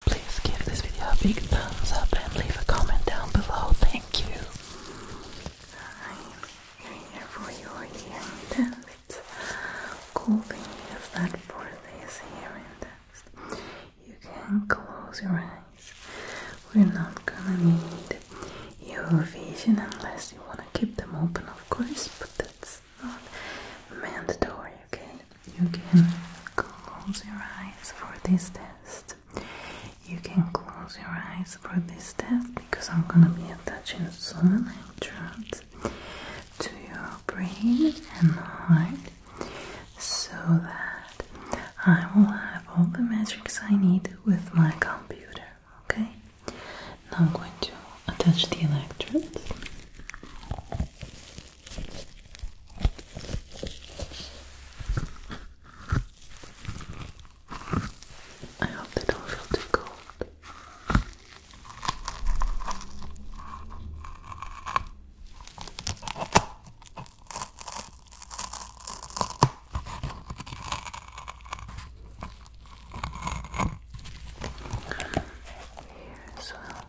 Please give this video a big thumbs up and leave a comment down below. Thank you. I'm here for your hearing test. Cool thing is that for this hearing test, you can close your eyes. We're not gonna need your vision unless you wanna keep them open, of course, but that's not mandatory, okay? You can close your eyes for this test. You can close your eyes for this test because I'm gonna be attaching some electrodes to your brain and heart so that I will have all the metrics I need with my computer. Okay? Now I'm going to attach the electrodes. I hope they don't feel too cold. Here as well.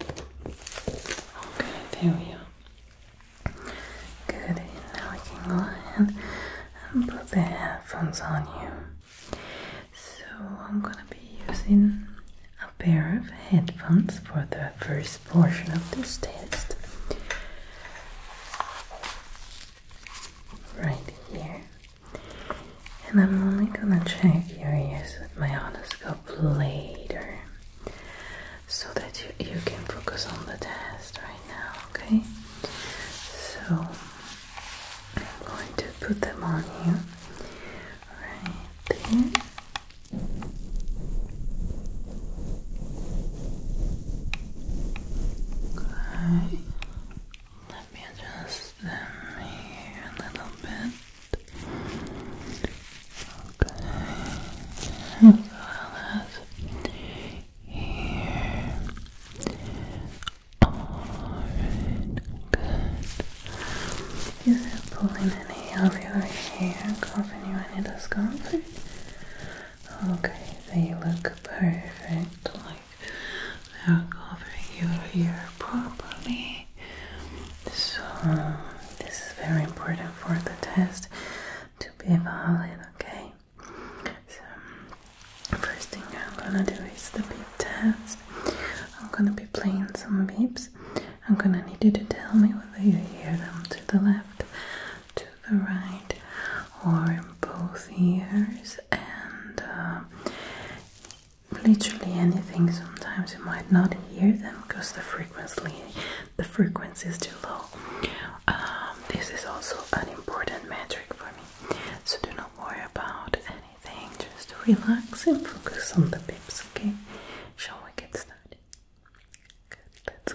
Okay, there we are. Good. Now I can go ahead and put the headphones on you. So I'm gonna be using a pair of headphones for the first portion of this test. Right here. And I'm only gonna check your ears with my otoscope, later so that you, you can focus on the test right now, okay? So I'm going to put them on you right there. Okay. Let me adjust them here a little bit. Okay. As well as here. Alright, good. Is it pulling any of your hair, causing you any discomfort? Okay, they look perfect I'll cover your hair properly. So this is very important for the test to be valid, okay? So first thing I'm gonna do is the beep test. I'm gonna be playing some beeps. I'm gonna need you to tell me whether you hear them to the left, to the right, or in both ears and uh, literally anything. Sometimes you might not hear them because the frequency the frequency is too low. Um, this is also an important metric for me, so do not worry about anything. Just relax and focus on the pips. Okay? Shall we get started? Good. Let's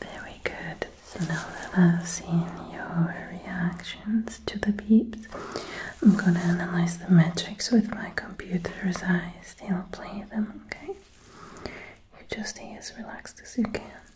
Very good. Now that I've seen your reactions to the beeps, I'm gonna analyze the metrics with my computer as Don't play them, okay? You just stay as relaxed as you can.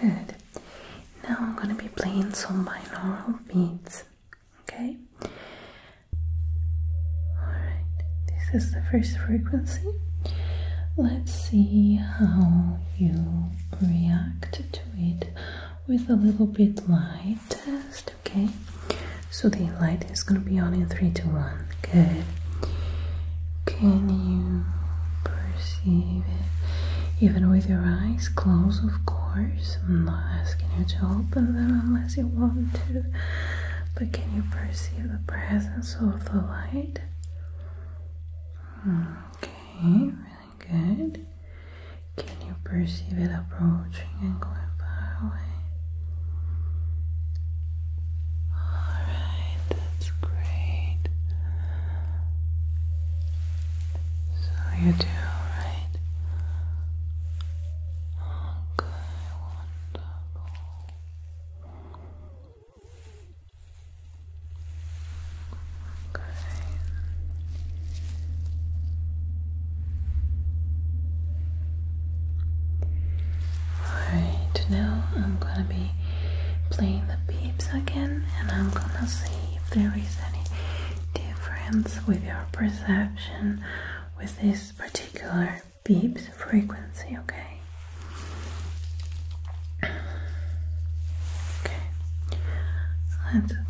Good. Now I'm going to be playing some binaural beats. Okay? Alright, this is the first frequency. Let's see how you react to it with a little bit light okay? So the light is gonna be on in three to one. Good. Can you perceive it? Even with your eyes closed, of course. I'm not asking you to open them unless you want to. But can you perceive the presence of the light? Hmm, okay, really good. Can you perceive it approaching and going far away? Alright, that's great. So you do, right? Okay, wonderful. Okay. Alright, now I'm gonna be playing the beeps again and I'm gonna see if there is any difference with your perception with this particular beeps frequency, okay? Okay, let's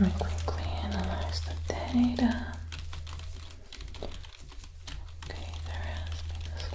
Let me quickly analyze the data. Okay, there has been a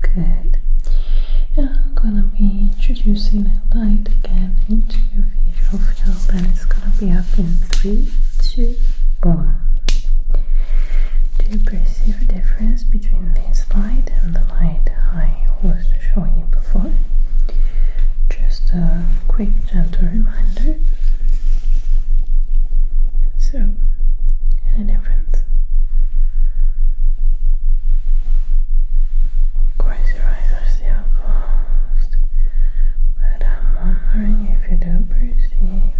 Good. I'm gonna be introducing a light again into your visual field and it's gonna be up in three, two, one. Do you perceive a difference between this light and the light I was showing you before? Just a quick gentle reminder. So any difference? Of your eyes are still closed, but I'm wondering if you do perceive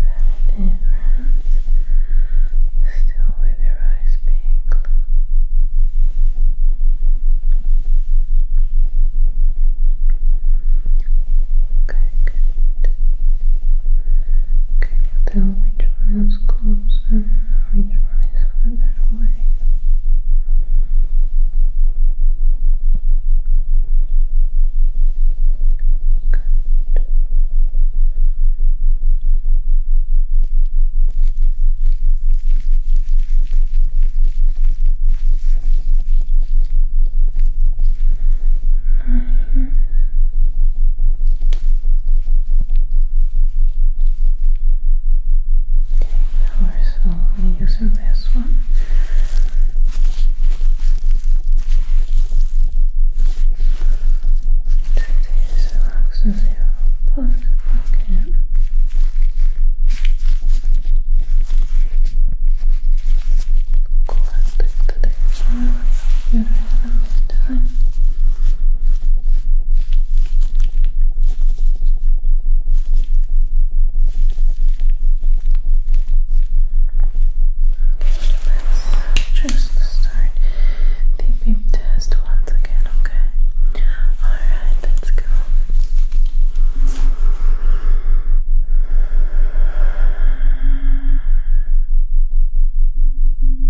any difference still with your eyes being closed. Okay, good. Can tell know which one is close and which one is further away. Good. Nice. Now we're slowly using this one. Take this relax as you plug back in. Collecting the data in the meantime. Let's just start the beep test once again, okay? Alright, let's go. Good.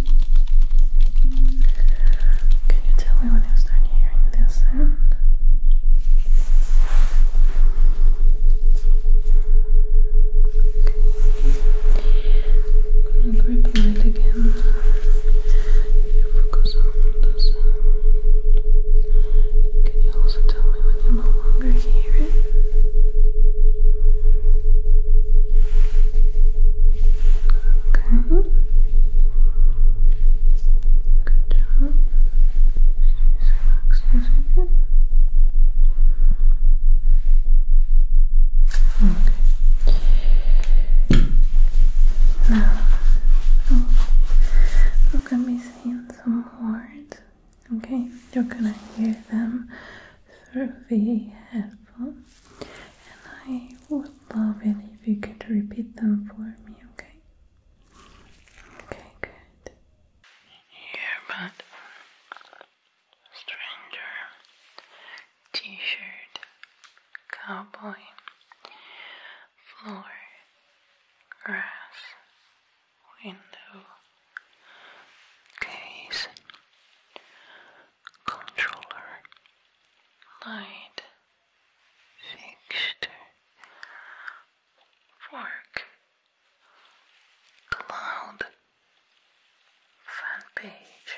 Can you tell me when you start hearing this sound? I'm gonna grip it again. Focus on the sound. Can you also tell me when you no longer hear it? Okay. Good job. Just relax for a second. Okay. Now, oh, i gonna be saying some words. Okay, you're gonna hear them through very helpful and I would love it if you could repeat them for me, okay? Okay, good. Here, stranger, t-shirt, cowboy, floor, grass, window case, controller, light, fixture, fork, cloud, fan page,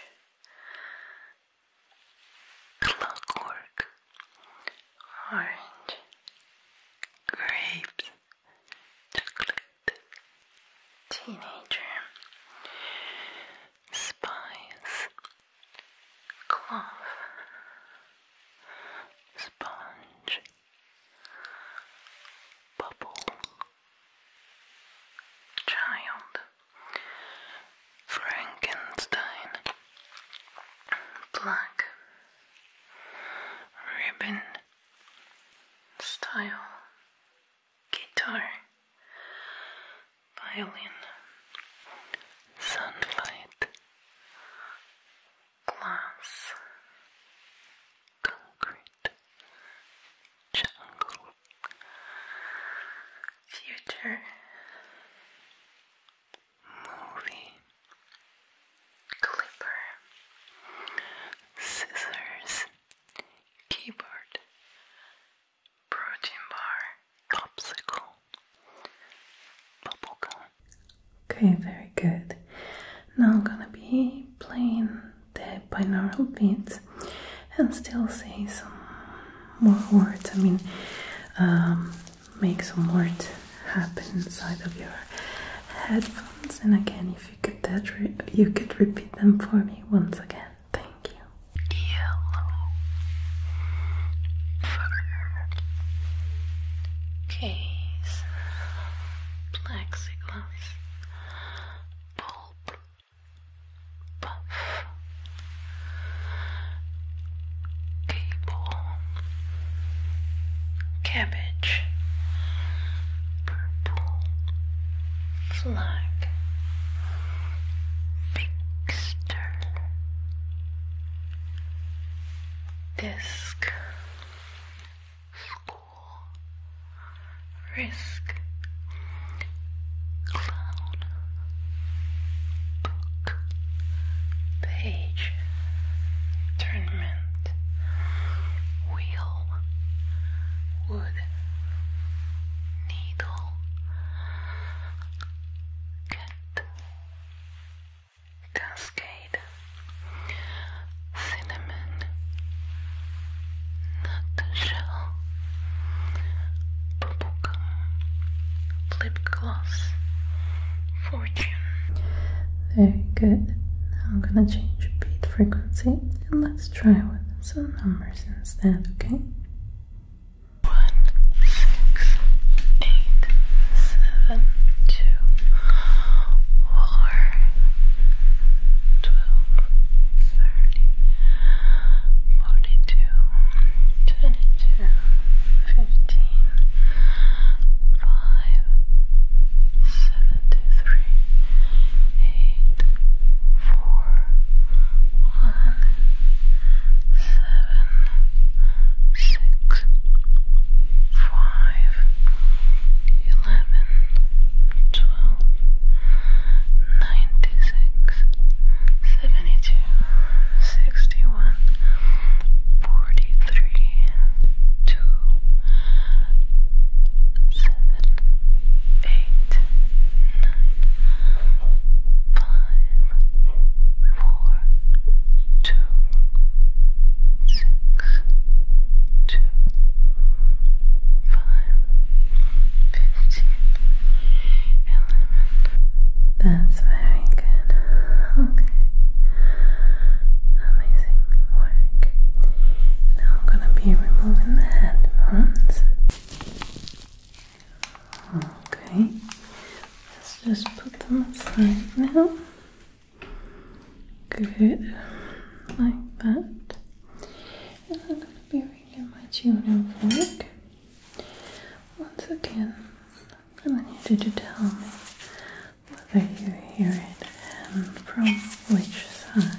clockwork, orange, grapes chocolate teenager spice cloth sponge bubble child Frankenstein black ribbon style guitar, violin, sunlight, glass, concrete, jungle, future, movie, clipper, scissors keyboard, protein bar, popsicle, bubblegum. Okay, very good. Now I'm gonna be playing the binaural beats and still say some more words. I mean, um, make some words happen inside of your headphones. And again, if you could that you could repeat them for me once again. Thank you. Yellow fur case plexiglass bulb puff cable cabbage image purple flag fixture disc school risk clown book page tournament wheel wood needle cat cascade cinnamon nut shell bubblegum lip fortune very good now I'm gonna change beat frequency and let's try with some numbers instead, okay? One, six, eight, seven, two, four, twelve, thirty, forty-two, twenty-two, fifteen, five, seventy-three, eight, four, one, seven, six, five, eleven, twelve, ninety-six, seventy-two, sixty-one, forty-three, two seven, eight, nine, five, four, two, six, two, five, fifteen, eleven. That's very good. Okay. Amazing. Now I'm gonna be removing the headphones. Okay, let's just put them aside now. Good, like that. And I'm gonna be reading my children's work. Once again, I'm need you to tell me whether you hear it from which side.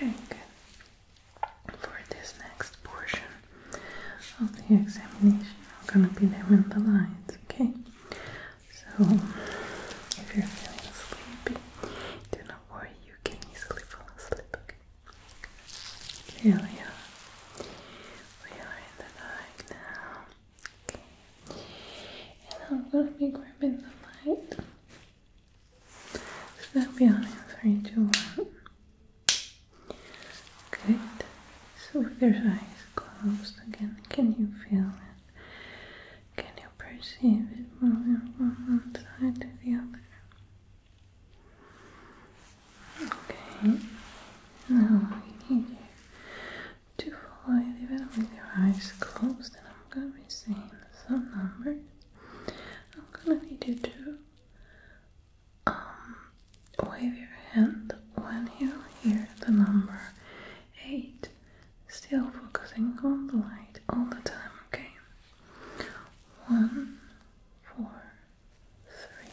Very For this next portion of the examination, I'm gonna be doing the lines, okay? So, if you're feeling sleepy, do not worry, you can easily fall asleep, okay? Here we are. We are in the night now. And I'm gonna be grabbing the light. So that'll be on in three, two, one. Good. So with your eyes closed again, can you feel it? Can you perceive it moving from one side to the other? Okay. Now I need you to follow it even with your eyes closed, and I'm gonna be saying some numbers. I'm gonna need you to um wave your hand when you hear the number eight. Still focusing on the light all the time, okay? One, four, three,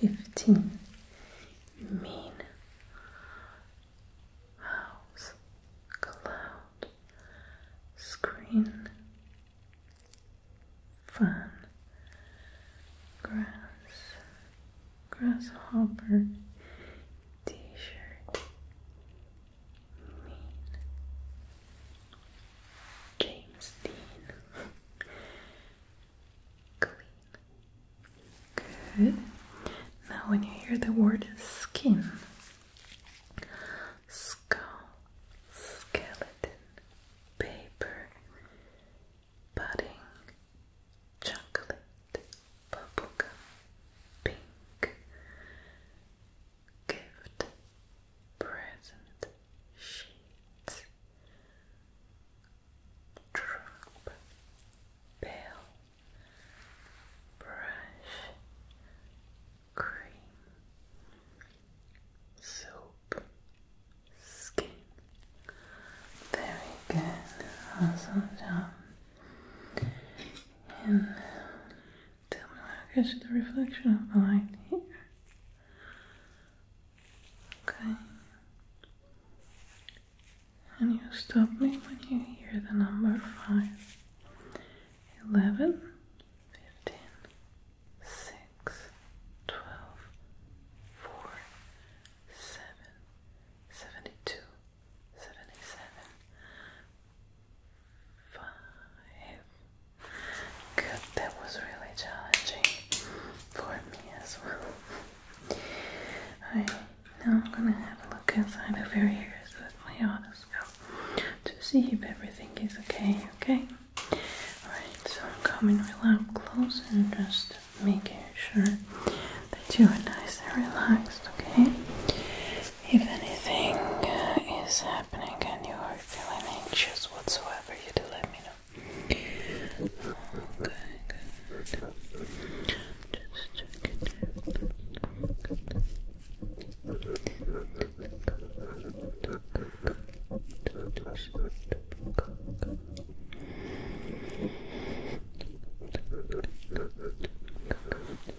fifteen mean house cloud screen fun grass grasshopper t-shirt mean James Dean Good. Now, when you hear the word skin, skull, skeleton, paper, pudding, chocolate, bubblegum, pink, gift, present, sheets, drop, bell, brush, cream, soap, skin. Very good. Awesome job. And um, tell me how catch the reflection of the here. Okay. And you stop me when you hear the number five, eleven, fifteen, six, twelve, four, seven, seventy-two, seventy-seven, five, Good, that was really challenging for me as well. Alright, now I'm gonna have a look inside of your ears with my otoscope to see if everything is okay, okay? Alright, so I'm coming real up close and just making sure that you are nice and relaxed, okay? If anything uh, is happening and you are feeling anxious whatsoever, you do let me let me Okay,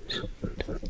Just check it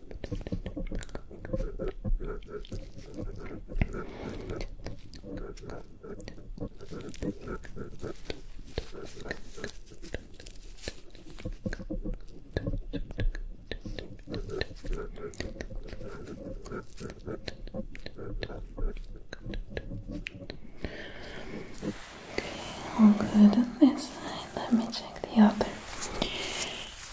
Okay, all good on this side. Let me check the other.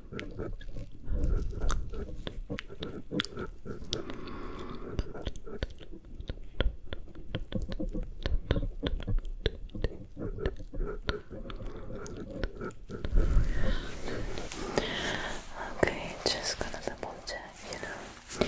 Okay, just gonna double check, you know. Yeah.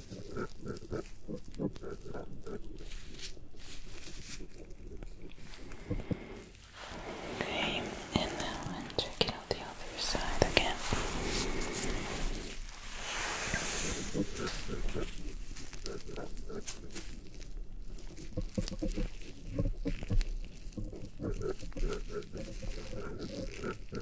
Okay, and now I'm checking on the other side again.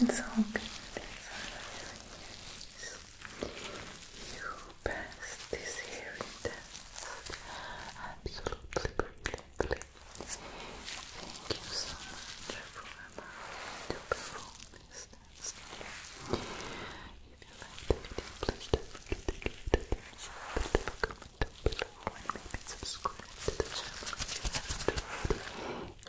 It's all good. You passed this hearing test absolutely perfectly. Thank you so much for coming to perform this if you like the video, please don't forget to give it a thumbs up, leave a comment down below, and maybe subscribe to the channel if you haven't free on your side,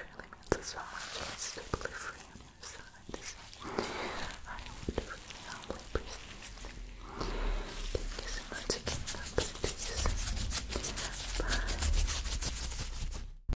I would really humbly appreciate it. Thank you so again, God